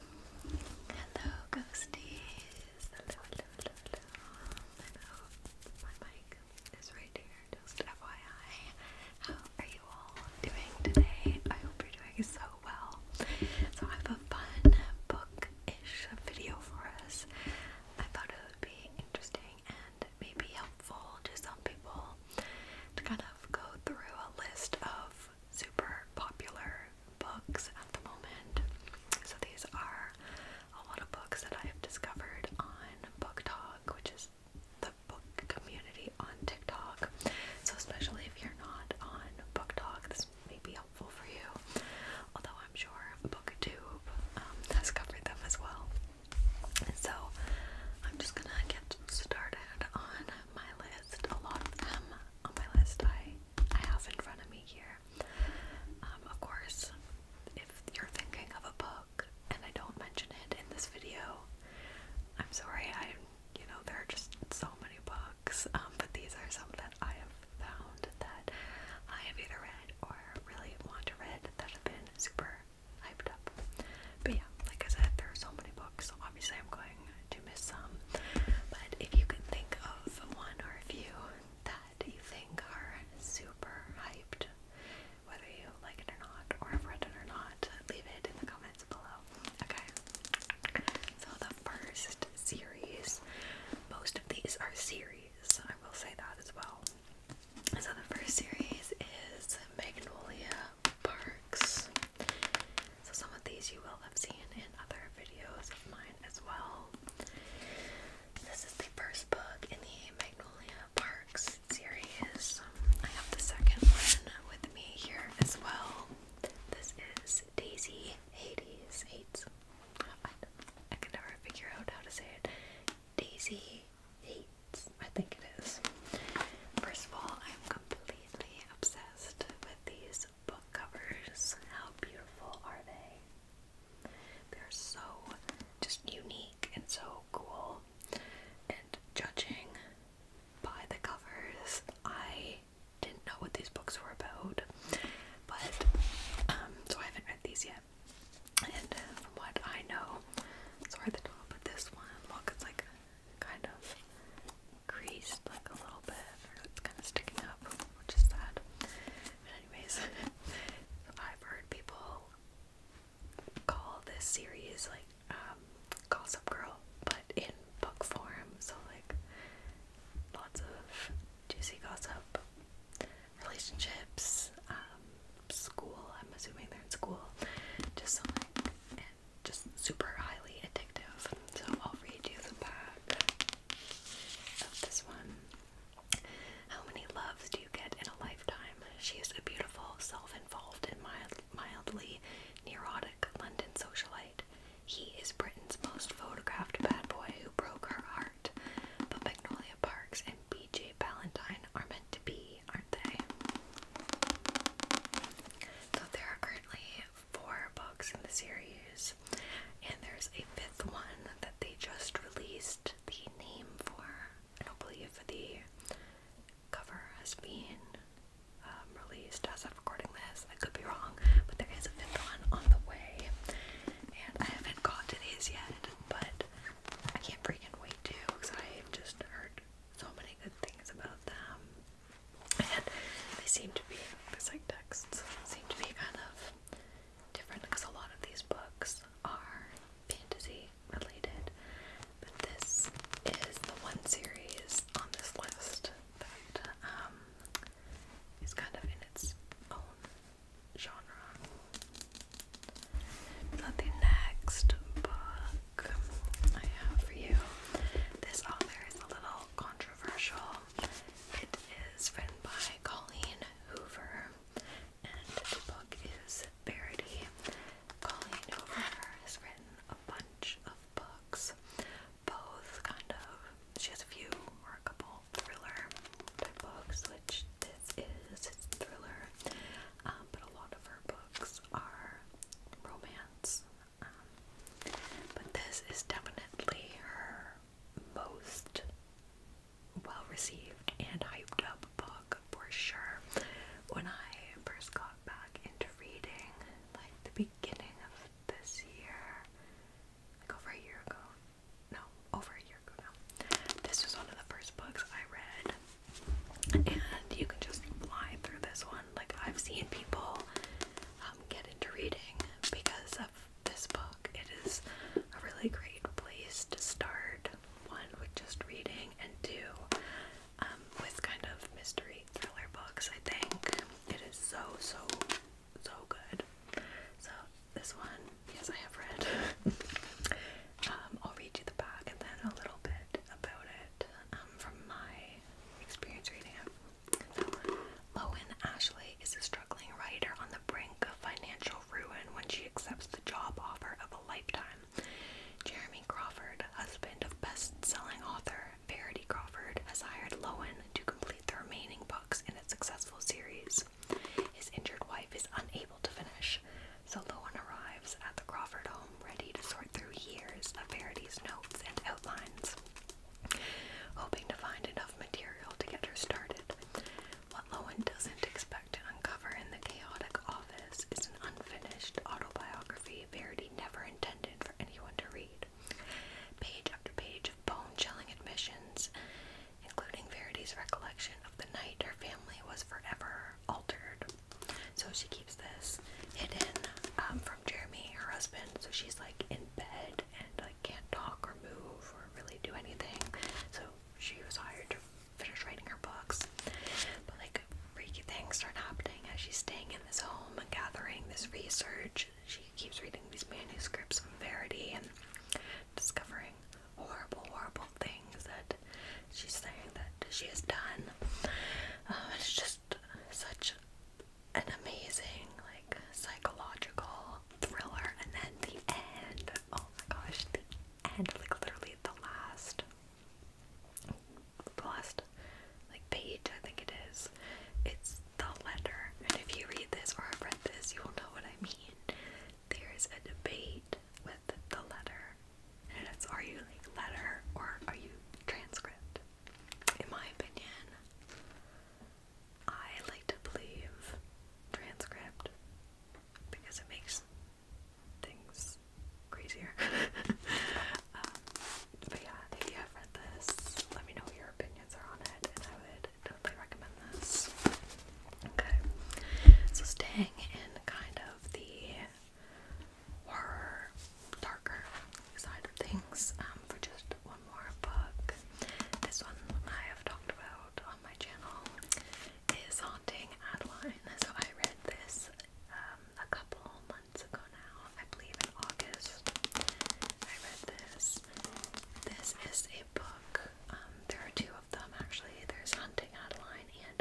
Hello, ghosties. I hope my mic is right here, just FYI. How are you all doing today? I hope you're doing so well. So, I have a fun book ish video for us. I thought it would be interesting and maybe helpful to some people to kind of go through a list of super popular books at the moment. So these are a lot of books that I have discovered on Book Talk, which is the book community on TikTok. So especially if you're not on Book Talk, this may be helpful for you. Although I'm sure BookTube um, has covered them as well. So I'm just gonna get started on my list. A lot of them on my list I I have in front of me here. Um, of course, if you're thinking of a book and I don't mention it in this video, I'm sorry. I you know there are just so many books, um, but these are some that I have found that I have either read or really want to read that have been super hyped up. But yeah, like I said, there are so many books. obviously, I'm going to miss some. But if you can think of one or a few that you think are super hyped, whether you like it or not, or have read it or not, leave it in the comments below. Okay. So the first series, most of these are series, I will say that as well. So the first series is Magnolia Parks. So some of these you will have seen in other videos of mine as well. This is the first book in the Magnolia Parks series. I have the second one with me here as well. This is Daisy Hades. Hades. I, can never figure out how to say it. Daisy Hades, I think it is. First of all, I'm completely obsessed with these these book covers. How beautiful are they? They're so just unique and so cool. And judging by the covers, I didn't know what these books were about. But, um, so I haven't read these yet. And uh, what I know, so the top of this one, look, it's like kind of creased like a little bit, or it's kind of sticking up, which is sad. But anyways, I've heard people call this series like um, Gossip Girl, but in book form. So like lots of juicy gossip, relationships, um, school. I'm assuming they're in school. Just so like just super highly addictive. So I'll read you the back of this one. How many loves do you get in a lifetime? She is a beautiful, self-involved, and mild, mildly neurotic London socialite. He is Britain's most photographed bad boy who broke her heart. But Magnolia Parks and B.J. Ballantyne are meant to be, aren't they? So there are currently four books in the series, and there's a fifth one that they just released the name for. I don't believe the cover has been um, released as of recording this. I could be wrong, but there is a fifth one on the way, and I haven't got to these yet, but I can't freaking wait to because I've just heard so many good things about them and they seem to be like texts seem to be kind of different because a lot of these books are fantasy related, but this is the one series on this list that um, kind of in its own genre. the next book I have for you, this author is a little controversial. It is written by Colleen Hoover, and the book is Parody. Colleen Hoover has written a bunch of books, both kind of, she has a few or a couple thriller type books, which this is, it's thriller, um, but a lot of her books are romance um, but this is definitely her most well received and hyped up book for sure. When I first got back into reading, like the beginning of this year, like over a year ago, no, over a year ago now, this was one of the first books I read. And you can just fly through this one. Like, I've seen people um, get into reading because of this book. It is a really great place to start one with just reading, and two um, with kind of mystery thriller books. I think it is so, so, so good. So, this one, yes, I have read. Um, I'll read you the back and then a little bit about it um, from my experience reading it. Lowen Ashley is a struggling writer on the brink of financial ruin when she accepts the job offer of a lifetime. Jeremy Crawford, husband of best-selling author Verity Crawford, has hired Lowen to complete the remaining books in a successful series. His injured wife is unable to finish, so Lowen arrives at the Crawford home ready to sort through years of Verity's notes and outlines, hoping to find enough material to get her started. What Lowen doesn't expect to uncover in the chaotic office is an unfinished autobiography Verity never intended for anyone to read. Page after page of bone-chilling admissions, including Verity's recollection of the night her family was forever altered. So she keeps this hidden um, Jeremy, her husband, so she's like in bed and like can't talk or move or really do anything. So she was hired to finish writing her books. But like freaky things start happening as she's staying in this home and gathering this research. She keeps reading these manuscripts from Verity and discovering horrible, horrible things that she's saying that she has done. Uh, it's just such an amazing, like, psychological thriller. And then the end, oh my gosh, the end, like, literally the last, the last, like, page, I think it is. It's the letter. And if you read this or have read this, you will know what I mean. There's a debate with the letter. And it's are you like letter or are you transcript? in my opinion. I like to believe transcript because it makes things crazier. Um, but yeah, if you have read this, let me know what your opinions are on it, and I would totally recommend this. Okay, so staying in kind of the horror, darker side of things um, for just one more book. This one I have talked about on my channel is Haunting Adeline. So I read this um, a couple months ago now, I believe in August. I read this. This is a book. Um, there are two of them actually. There's *Haunting Adeline and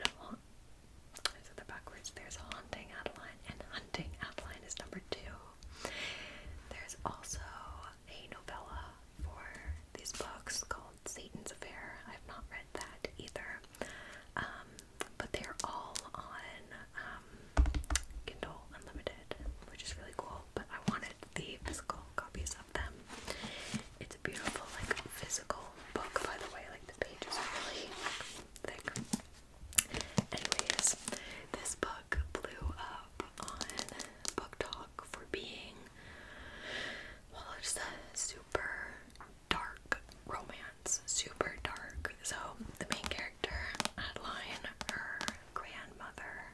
those are backwards. There's Haunting Adeline, and Hunting Adeline is number two. There's also a novella for these books called Satan's Affair. I've not read that either. Um, but they're all on um, Kindle Unlimited, which is really cool. But I wanted the physical copies of them. It's a beautiful, like, physical book, by the way. Like, the pages are really thick. Anyways, this book blew up on Book Talk for being, well, it's a super dark romance, super dark. So, the main character, Adeline, her grandmother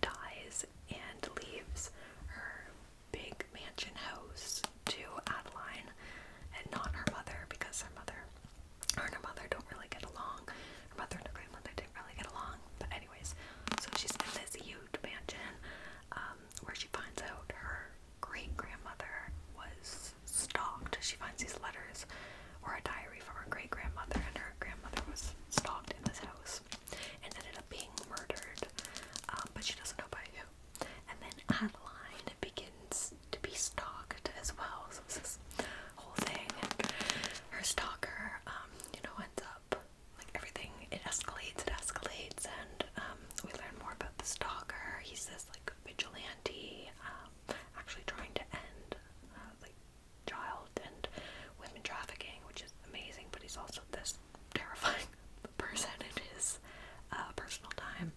dies and leaves her big mansion house to Adeline and not her mother because her mother her and her mother don't really get along. Her mother and her grandmother didn't really get along. But anyways, so she's in this huge mansion um, where she finds out her great grandmother was stalked. She finds these letters or a diary from her great grandmother, and her grandmother was stalked in this house and ended up being murdered. Um, but she doesn't know about who. And then Adeline begins to be stalked as well. So it's this whole thing, and her stalker, um, you know, ends up like everything. It escalates, it escalates, and um, we learn more about the stalker. He says, like vigilante, um, actually trying to end uh, like child and women trafficking, which is amazing. But he's also this terrifying person in his uh, personal time.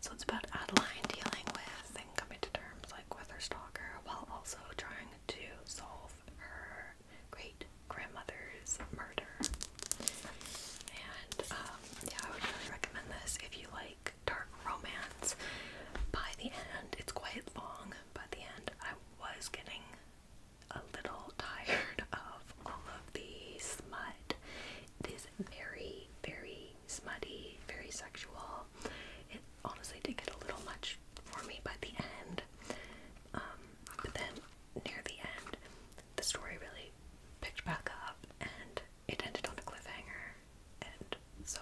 So it's about Adeline dealing with and coming to terms like with her stalker while also trying to solve her great grandmother's murder. And um, yeah, I would really recommend this if you like dark romance. By the end, it's quite long. By the end, I was getting a little tired of all of the smut. It is very, very smutty, very sexual. It honestly did get a little much for me by the end. Um, but then near the end, the story really picked back up and it ended on a cliffhanger. And so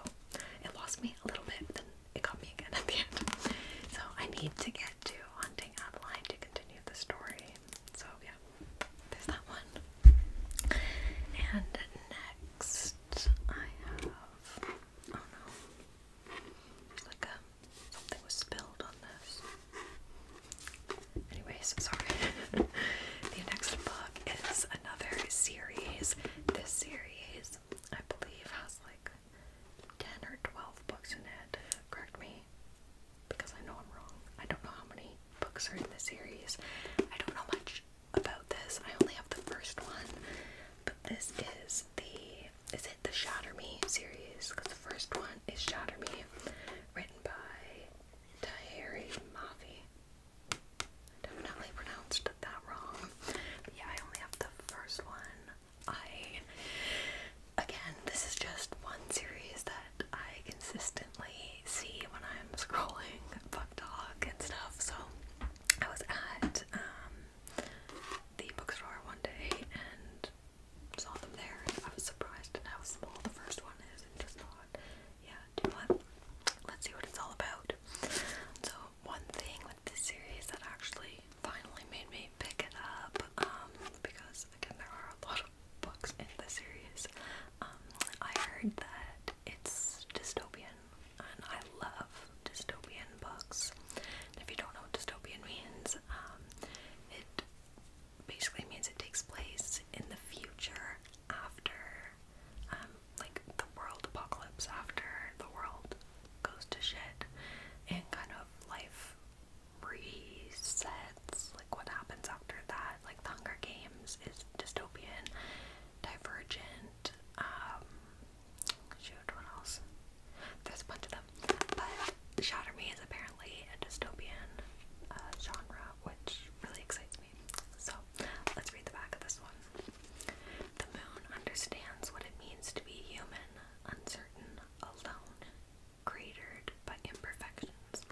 it lost me a little bit, then it got me again at the end. So I need to get to Hunting Adeline to continue the story. So yeah, there's that one. And next I have oh no. Like a something was spilled on this. Anyways, sorry. the next book is another series. This series, I believe, has like 10 or 12 books in it. Correct me because I know I'm wrong. I don't know how many books are in the series. I don't know much about this. I only have the first one, but this is the is it the Shatter Me series? Because the first one is Shatter Me, written by Tahiri Mafi. Definitely pronounced that wrong. yeah, I only have the first one. I again, this is just one series that that I consistently see when I'm scrolling Book Dog and stuff. So I was at um, the bookstore one day and saw them there. And I was surprised at how small the first one is and just thought, yeah, do what? Let's see what it's all about. So one thing with this series that actually finally made me pick it up um, because again there are a lot of books in the series. Um, I heard that it's dystopian, and I love dystopian books. if you don't know what dystopian means, um, it basically means it takes place in the future after, um, like the world apocalypse, after the world goes to shit, and kind of life resets, like what happens after that like The Hunger Games is dystopian, divergent, um, shoot, what else? There's a of them. But Shatter Me is apparently a dystopian uh, genre, which really excites me. So let's read the back of this one. The moon understands what it means to be human, uncertain, alone, cratered, by imperfections.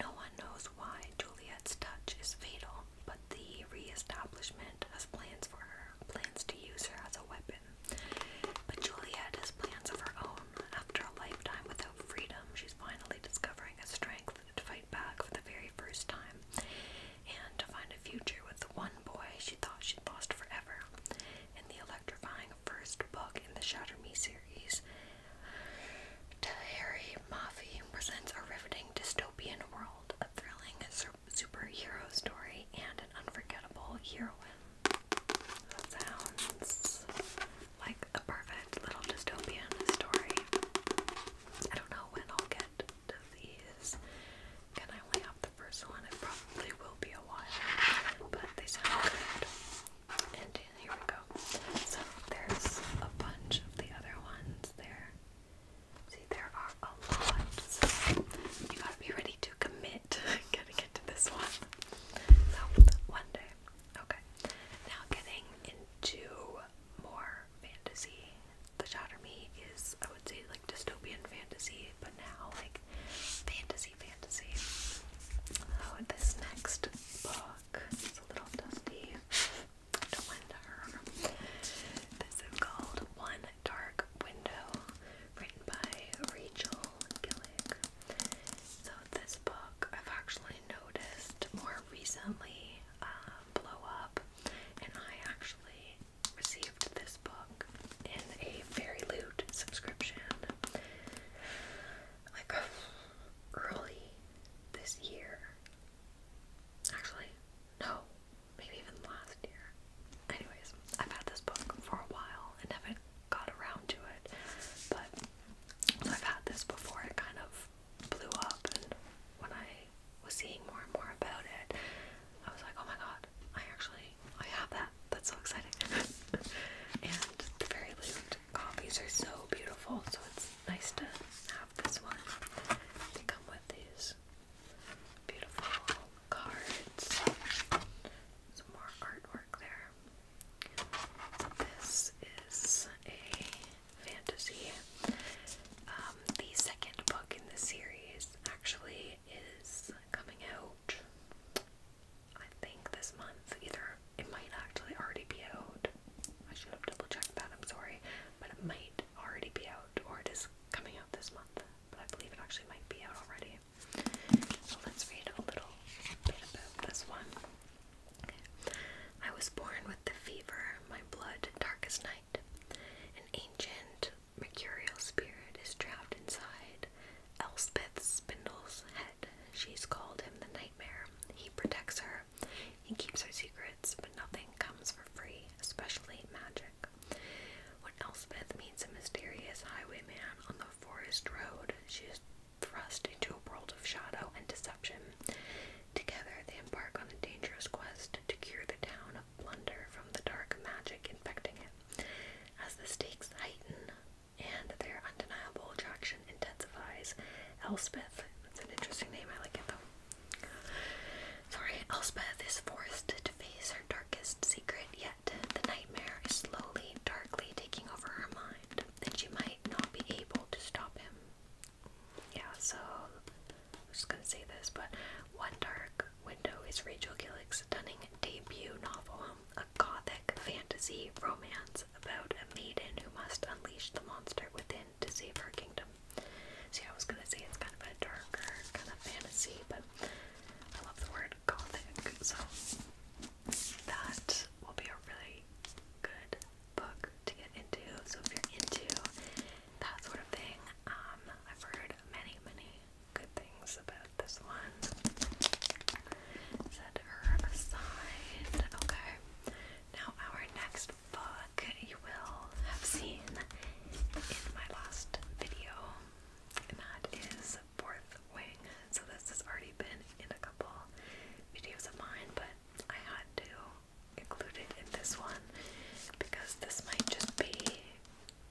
No one knows why Juliet's touch is fatal, but the re-establishment has plans for her, plans to use her as a weapon. But Juliet has plans of her own. After a lifetime without freedom, she's finally discovering a strength to fight back for the very first time, and to find a future with the one boy she thought she'd lost forever. In the electrifying first book in the Shatter Me series, Tahari Mafi presents a riveting dystopian world, a thrilling superhero story, and an unforgettable heroine. That sounds like a perfect little dystopian story. I don't know when I'll get to these. Can I only have the first one? It probably will be a while, but they sound good. And here we go. So there's a bunch of the other ones there. See, there are a lot. So you gotta be ready to commit. gotta get to this one. So one day. Okay. Now getting into more fantasy. The Shatter Me is, I would say, like dystopian fantasy, but now like fantasy fantasy. Oh, this next book book. It's a little dusty. Don't This is called One Dark Window, written by Rachel Gillick. So this book I've actually noticed more recently uh, blow up, and I actually received this book in a Fairy Loot subscription like early this year. Actually, no, maybe even last year. Anyways, I've had this book for a while and haven't got around to it, but I've had this before it kind of blew up, and when I was seeing more and more about it, I was like, oh my god, I actually I have that. That's so exciting. and the Fairy Loot Roast are so beautiful, so it's nice to have this one. They come with these beautiful cards. Some more artwork there. This is a fantasy. Um, the second book in the series actually is coming out. I think this month, either it might actually already be out. I should have double checked that, I'm sorry. But it might already be out, or it is coming out this month. But I believe it actually might be out already. So let's read a little bit about this one. I was born with the fever, my blood darkest night. An ancient mercurial spirit is trapped inside Elspeth spindle's head. She's called him the nightmare. He protects her, he keeps her secrets, but nothing comes for free, especially magic. When Elspeth meets a mysterious highwayman on the forest road, she is thrust into a world of shadow and deception. Together, they embark on a dangerous quest to cure the town of Blunder from the dark magic infecting it. As the stakes heighten, and their undeniable attraction intensifies. Elspeth, that's an interesting name, I like it though. Sorry, Elspeth is forced to face her darkest secret, yet the nightmare is slowly, darkly taking over her mind, That she might not be able to stop him. Yeah, so I'm just gonna say this, but One Dark Window is Rachel Gillick's stunning debut novel, um, a gothic fantasy romance about a maiden who must unleash the monster within to save her kingdom. See, I was gonna say it's kind of a darker kind of fantasy, but I love the word gothic, so that will be a really good book to get into. So if you're into that sort of thing, um, I've heard many, many good things about this one set her aside. Okay. Now our next book you will have seen in my last video, and that is Fourth Wing. So this has already been in a couple videos of mine, but I had to include it in this one because this might just be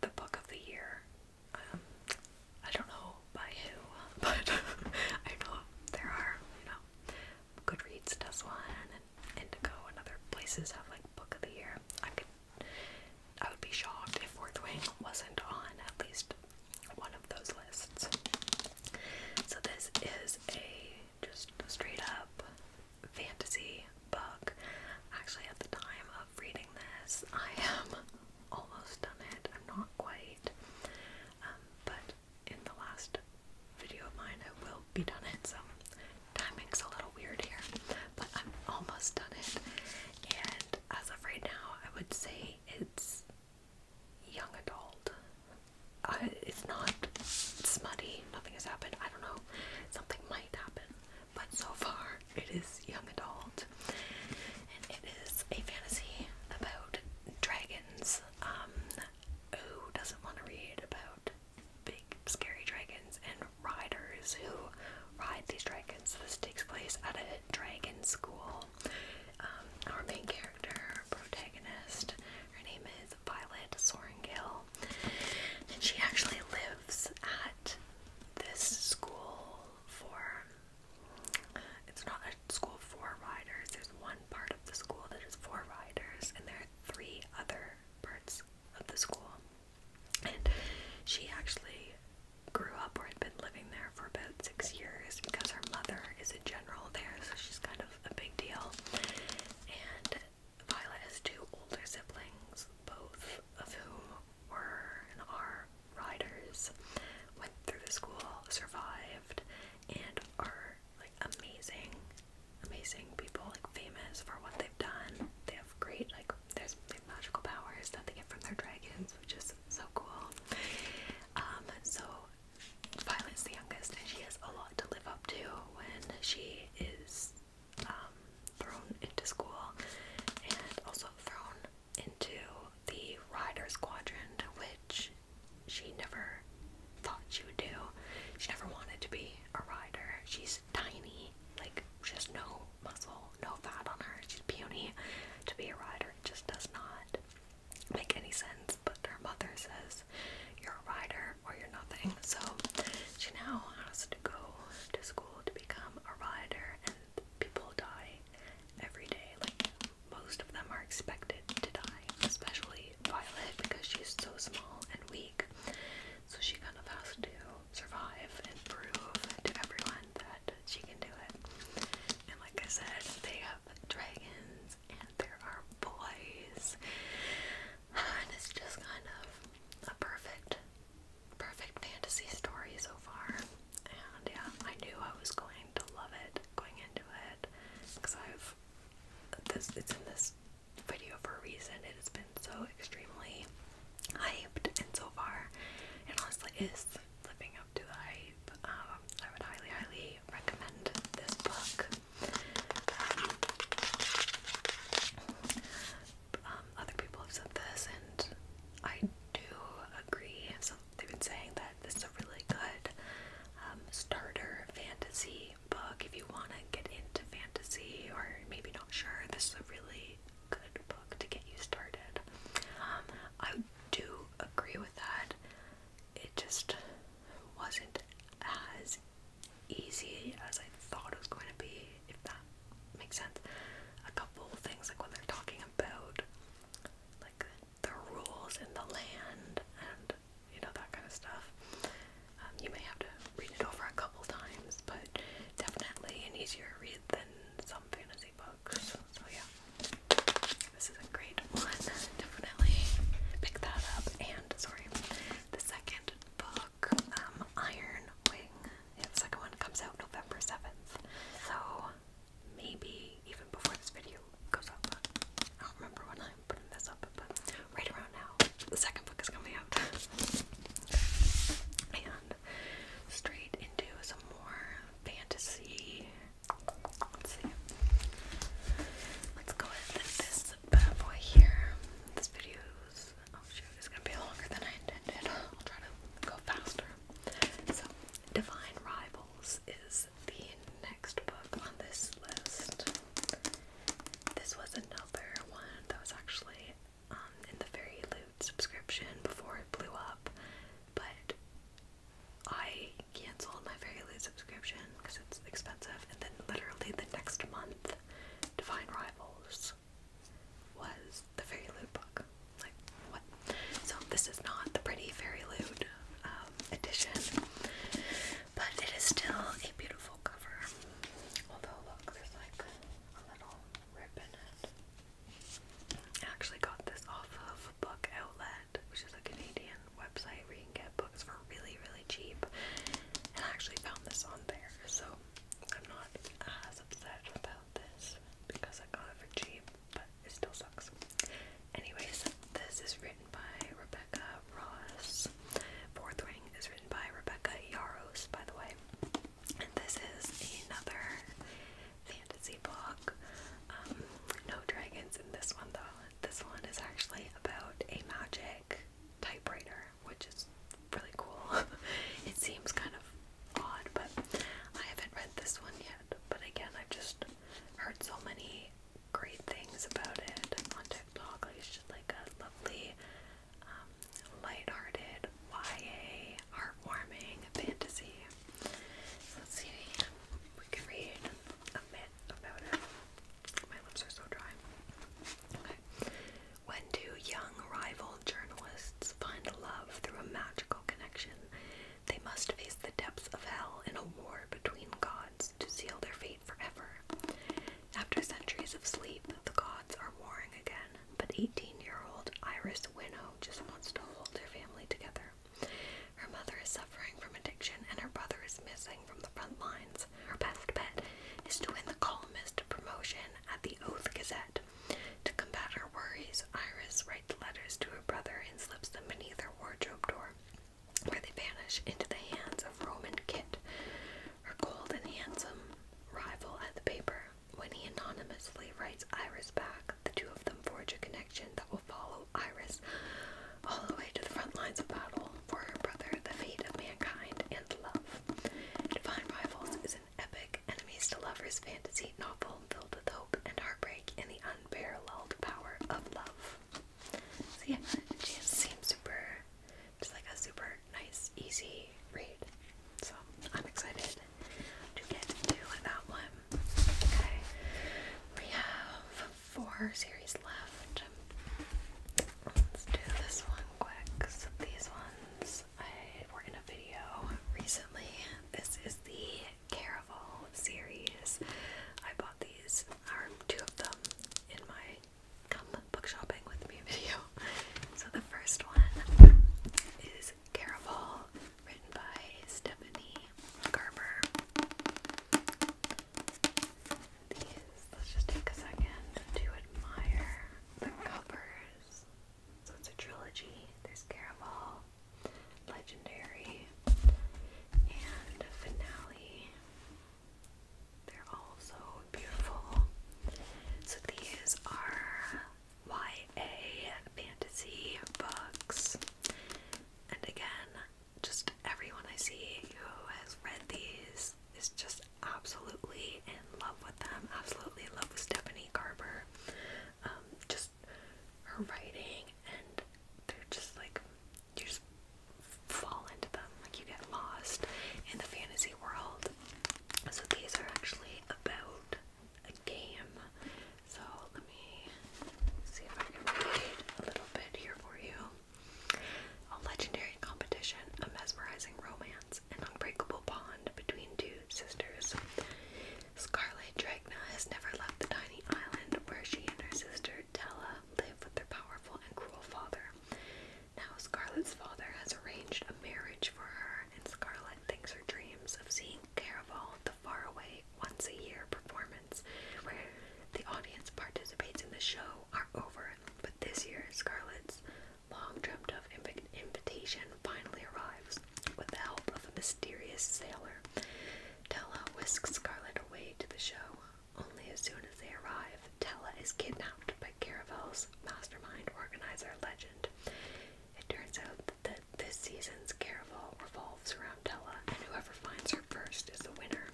the book of the year. Um, I don't know by who, but I know there are, you know, Goodreads does one, and Indigo and other places have like Book of the Year. I could, I would be shocked if Fourth Wing wasn't on at least one of those lists. So this is a just straight up fantasy book. Actually, at the time of reading this, I am almost done it. I'm not quite, um, but in the last video of mine. I will be done it, so timing's a little weird here, but I'm almost done it. And as of right now, I would say it's young adult. Uh, it's not smutty, nothing has happened. I don't know, something might happen, but so far it is young adult. And it is a fantasy about dragons. Um, who doesn't want to read about big scary dragons and riders who ride these dragons? This takes place at a dragon school. Um, our main character, protagonist, her name is Violet Sorengill, and she actually lives at this school for it's not a school for riders. There's one part of the school that is for riders, and there are three other parts of the school. And she actually grew up or had been living there for about six years because her mother is a general there, so she's kind of a big deal. And Violet has two older siblings, both of whom were and are riders went through the school, survived, and are like amazing, amazing people, like famous for what they've done. They have great like there's magical powers that they get from their dragons, which is so cool. Um, so Violet's the youngest, and she has a lot to live up to when she is um, thrown into school and also thrown into the Riders Quadrant, which she never thought she would do. She never wanted to be a rider. She's tiny, like she has no muscle, no fat on her. She's puny. To be a rider it just does not make any sense. But her mother says, You're a rider or you're nothing. So she now has to go to school to become a rider and people die every day. Like most of them are expected to die, especially Violet because she's so small and weak. So she kind of has to survive and prove to everyone that she can do it. And like I said, they have dragons and there are boys. And it's just kind of a perfect perfect fantasy story so far and yeah, I knew I was going to love it going into it because I've this it's in this video for a reason. It has been so extremely hyped, and so far, it honestly is living up to the hype. Um, I would highly, highly recommend this book. Um, other people have said this, and I do agree they've been saying that this is a really good um, starter fantasy book if you want to get into fantasy or maybe not sure. This is a really good book to get you started. Um, I do agree with that. It just wasn't as easy as I thought it was going to be, if that makes sense. A couple things like what they're talking about like the rules in the land and you know that kind of stuff. Um, you may have to read it over a couple times, but definitely an easier read than some fantasy books. So yeah, this is a great one. Definitely pick that up. And sorry, the second book, um, Iron Wing. second one comes out November seventh. So maybe even before this video goes up. I don't remember when I'm putting this up, but right around now, the second book is coming out. and straight into some more fantasy. Let's see. Let's go with this bad boy here. This video's oh gonna be longer than I intended. I'll try to go faster. So, Divine Rivals is the next book on this list. This was another one that was actually um, in the very Loot subscription before it blew up, but I canceled my very Loot subscription because it's expensive, and then literally the next month, Divine Rivals was the very Loot book like what? So this is not the pretty fairy lewd um, edition, but it is still a beautiful cover. Although look, there's like a little rip in it. I actually got this off of Book Outlet, which is a Canadian website where you can get books for really, really cheap. And I actually found this on there, so I'm not as upset about this because I got it for cheap but it still sucks. Anyways, this is written by Rebecca Ross. Fourth Ring is written by Rebecca Yaros, by the way. And this is another fantasy book. Um, no dragons in this one, though. This one is actually about a magic typewriter, which is really cool. it seems kind of odd, but I haven't read this one yet. But again, I've just heard so many great things about it on TikTok. Like just like a lovely, um, lighthearted YA, heartwarming fantasy. let's see, we can read a bit about it. My lips are so dry. Okay. When do young rival journalists find love through a magical connection? They must face the depths of hell in a war between gods to seal their fate forever. After centuries of sleep, the gods are warring again, but 18 year old Iris Winnow just wants to hold her family together. Her mother is suffering from addiction, and her brother is missing from the front lines. Her best bet is to win the columnist promotion at the Oath Gazette to combat her worries, Iris writes letters to her brother and slips them beneath her wardrobe door, where they vanish into the hands of Roman Kit, her cold and handsome rival at the paper. When he anonymously writes Iris back, the two of them forge a connection that will follow Iris all the way to the front lines of battle for her brother, the fate of mankind, and love. Divine Rivals is an epic enemies to lovers fantasy novel filled with hope and heartbreak in the unparalleled power of love. So yeah, it seems super, just like a super nice, easy read. So I'm excited to get to that one. Okay, we have four series left. do this one quick. these ones I were in a video recently. This is the Caraval series. I bought these, Are two of them, in my Come Book Shopping With Me video. So the first one is Caraval, written by Stephanie Garber. let's just take a second to admire the covers. So it's a trilogy. There's Caraval, legendary, and finale. They're all so beautiful. So these are YA fantasy books. And again, just everyone I see who has read these is just absolutely in love with them. Absolutely in love with Stephanie Carver. Um, just her writing, and they're just like you just fall into them, like you get lost in the fantasy world. So these are actually about a game. So let me see if I can read a little bit here for you. A legendary competition, a mesmerizing romance, an unbreakable bond between two sisters. Scarlet Dragna has never left the tiny island where she and her sister Della live with their powerful and cruel father. Now, Scarlet's father has arranged a marriage for her, and Scarlet thinks her dreams of seeing Caraval, the faraway once a year performance where the audience participates in the show, are over. But this year, Scarlet's long dreamt of invitation finally arrives with the help of a mysterious sailor. Tella whisks Scarlet away to the show. Only as soon as they arrive, Tella is kidnapped by Caravel's mastermind organizer legend. It turns out that this season's Caravel revolves around Tella, and whoever finds her first is the winner.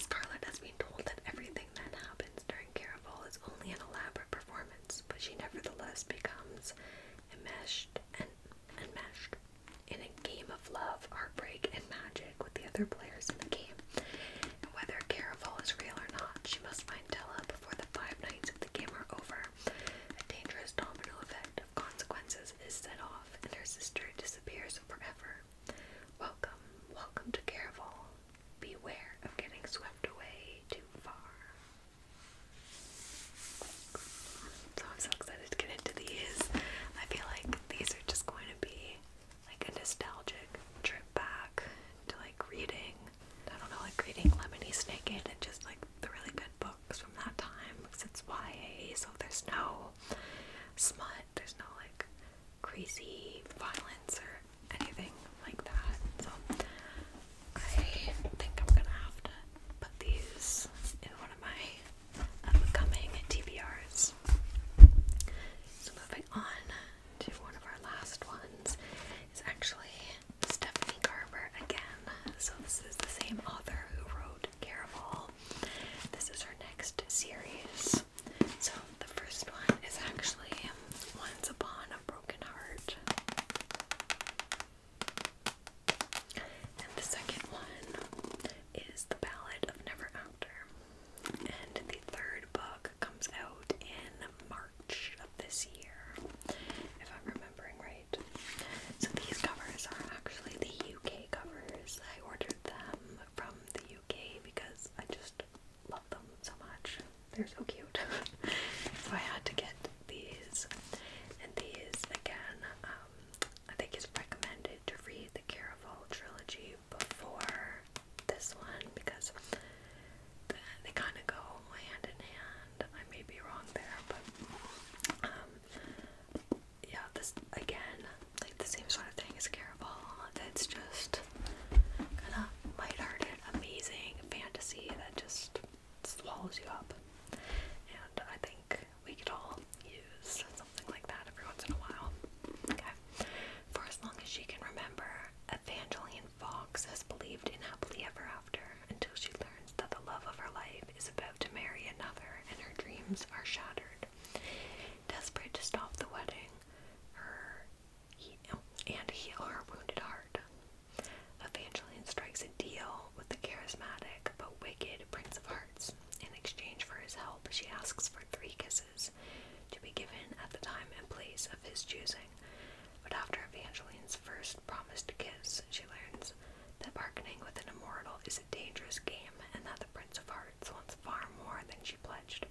Scarlet has been told that everything that happens during Caravel is only an elaborate performance, but she nevertheless becomes enmeshed and and, meshed in a game of love, heartbreak, and magic with the other players in the game. And whether Caraval is real or not, she must find Della before the five nights of the game are over. A dangerous domino effect of consequences is set off, and her sister disappears forever. Welcome, welcome to Caraval. Beware of getting swept away too far. So I'm so excited to get into these. I feel like these are just going to be like a nostalgic trip back to like reading, I don't know, like reading Lemony Snicket and just like the really good books from that time because it's YA, so there's no smut, there's no like crazy violence or anything like that. So I think I'm gonna have to put these in one of my upcoming TBRs. So moving on to one of our last ones is actually Stephanie Garber again. So this is the same author who wrote Caramel. This is her next series. So the first one is actually Once Upon a Broken Heart. And the second one is The Ballad of Never After. And the third book comes out in March of this year, if I'm remembering right. So these covers are actually the UK covers. I ordered them from the UK because I just love them so much. They're so cute. so I had to get these. And these, again, um, I think it's recommended to read the Caraval trilogy before this one because they kind of go hand in hand. I may be wrong there, but um, yeah, this again, like the same sort of thing as Caraval. That's just kind of lighthearted, amazing fantasy that just swallows you up and I think we could all use something like that every once in a while. For as long as she can remember, Evangeline Fox has believed in happily ever after until she learns that the love of her life is about to marry another and her dreams are shattered. Desperate to stop the wedding, her oh, and heal her wounded heart, Evangeline strikes a deal with the charismatic but wicked Prince of Hearts. In exchange for his help, she asks for three kisses to be given at the time and place of his choosing. But after Evangeline's first promised kiss, she learns that bargaining with an immortal is a dangerous game and that the Prince of Hearts wants far more than she pledged.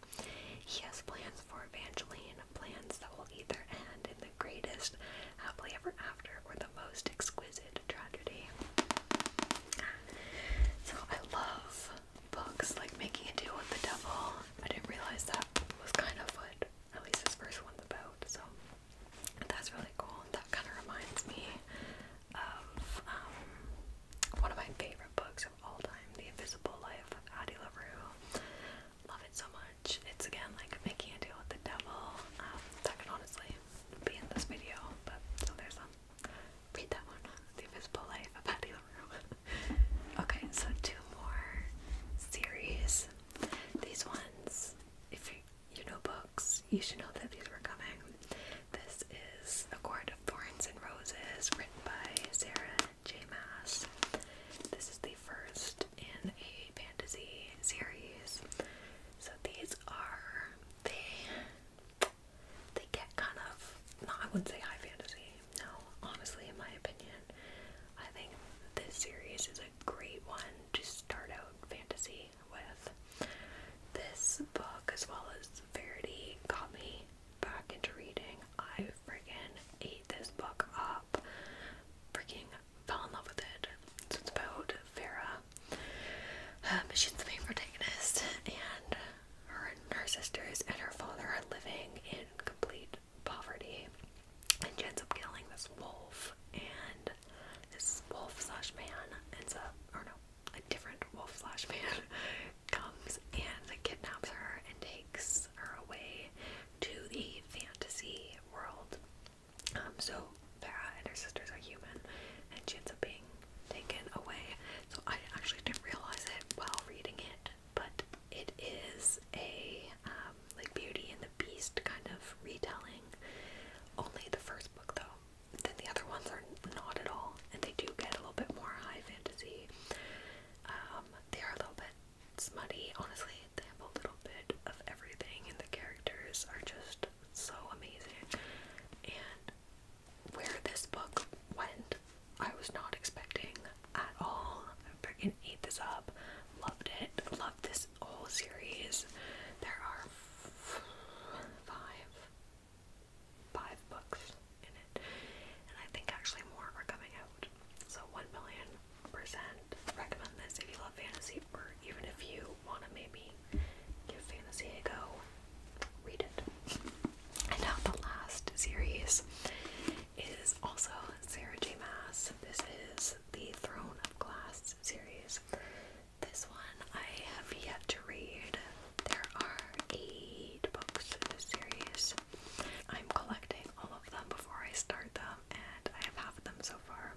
He has plans for Evangeline, plans that will either end in the greatest happily ever after or the most exquisite tragedy. So I love books like Making a Deal with the Devil. I didn't realize that was kind of what at least this first one's about. So that's really cool. That kind of reminds me of um, one of my favorite books of all time, The Invisible Life of Addie LaRue. Love it so much. It's again like making a deal with the devil. Um, honestly be in this video, but so there's um, that one. Uh, the Invisible Life of Patty LaRue. okay, so two more series. These ones, if you, know books, you should know that these were coming. This is A Court of Thorns and Roses, written by Sarah J. Maas. This is the first in a fantasy series. So these are the. they get kind of no, I wouldn't say high fantasy. No, honestly, in my opinion, I think this series is a great one to start out fantasy with. This book, as well as Verity, got me back into reading. I freaking ate this book up. Freaking fell in love with it. So it's about Vera. Um, she's the main protagonist, and her and her sisters and her father are living in complete poverty. And she ends up killing this wolf, and this wolf slash man ends up, or no, a different wolf slash man comes and kidnaps her and takes her away to the fantasy world so Vera and her sisters are human, and she ends up being taken away. So I actually didn't realize it while reading it, but it is a um, like Beauty and the Beast kind of retelling. Only the first book though. Then the other ones are not at all, and they do get a little bit more high fantasy. Um, they are a little bit it's muddy, honestly. They have a little bit of everything, and the characters are just so amazing. And where this book went, I was not expecting at all. I freaking ate this up. Loved it. Loved this whole series. There are five, five books in it, and I think actually more are coming out. So, one million recommend this if you love fantasy or even if you want to maybe give fantasy a go. Read it. And now the last series is also Sarah J. Mass. This is the Throne of Glass series. This one I have yet to read. There are eight books in this series. I'm collecting all of them before I start them, and I have half of them so far.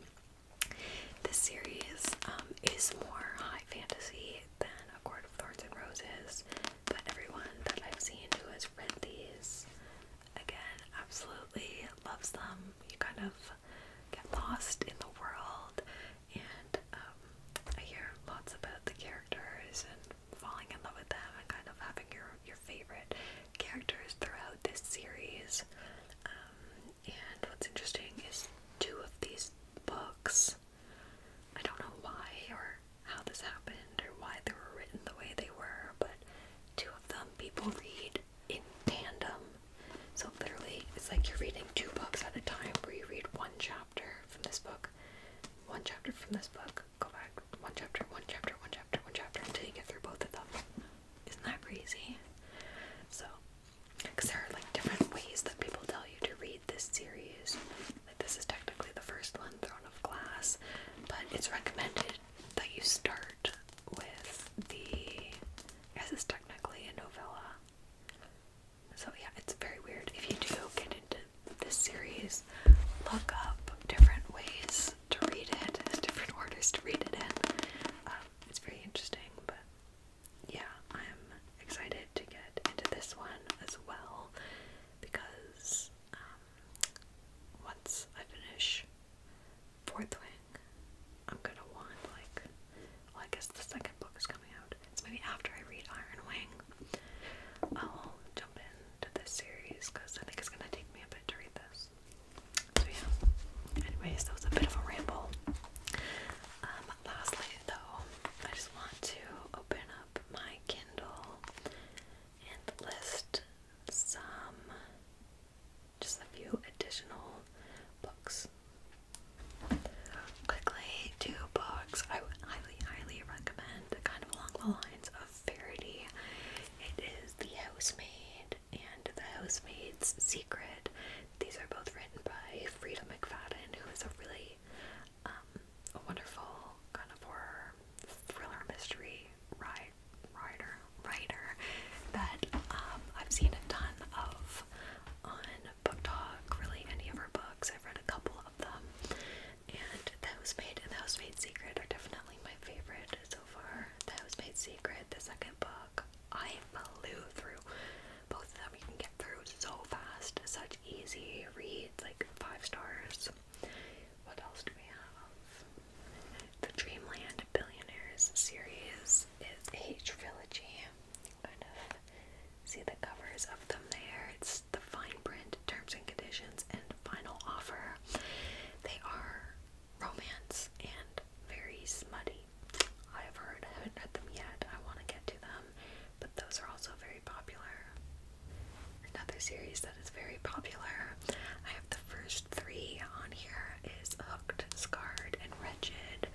This series um, is more high fantasy than A Court of Thorns and Roses, but everyone that I've seen who has read these, again, absolutely loves them. You kind of get lost in the world, and um, I hear lots about the characters and falling in love with them and kind of having your your favorite characters throughout this series. Um, and what's interesting is two of these books, I don't know why or how this happened or why they were written the way they were, but two of them people read in tandem. So literally, it's like you're reading two books at a time where you read one chapter from this book, one chapter from this book, go back, one chapter, one chapter, one chapter, one chapter until you get through both of them. Isn't that crazy? So, because there are like different ways that people tell you to read this series. Like, this is technically the first one, Throne of Glass, but it's recommended that you start with the. This is technically a novella. So, yeah, it's very weird. If you do get into this series, look up different ways to read it. There's different orders to read it in. Um, it's very interesting, but yeah, I'm excited to get into this one as well because um, once I finish Fourth Wing, I'm gonna want like, well, I guess the second book is coming out. It's maybe after I read Iron Wing, I'll jump into this series because I think it's gonna take me a bit to read this. So yeah. Anyways, that was a bit of a ramble. Um, lastly though, I just want to open up my Kindle and list some just a few additional books. Quickly, two books I would highly, highly recommend, kind of along the lines of Verity. It is The Housemaid and The Housemaid's Secret. These are both written by Frida McFadden, who is a really um, a wonderful kind of horror thriller mystery writer writer that um, I've seen a ton of on Book Talk. Really, any of her books, I've read a couple of them, and that was made. and The Housemaid's Secret are definitely my favorite so far. The Housemaid's Secret, the second book. I flew through both of them. You can get through so fast, such easy reads, like five stars. What else do we have? The Dreamland Billionaires series is a trilogy. kind of see the covers of them there. It's the fine print, terms and conditions, and final offer. They are romance and very smutty. I have heard, I haven't read them yet. I want to get to them, but those are also very popular. Another series that is very popular. I have the first three on here is Hooked, Scarred, and Wretched.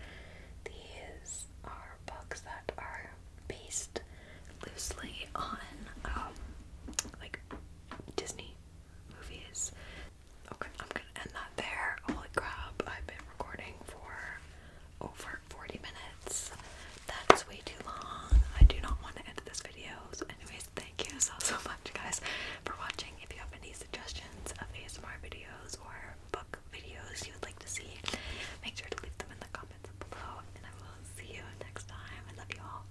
These are books that are based loosely on um, like Disney movies. Okay, I'm gonna end that there. Holy crap, I've been recording for over 40 minutes. That's way too long. I do not want to end this video. So, anyways, thank you so, so much, guys, for watching. If you have any suggestions of ASMR videos or book videos you would like to see, make sure to leave them in the comments below. And I will see you next time. I love you all.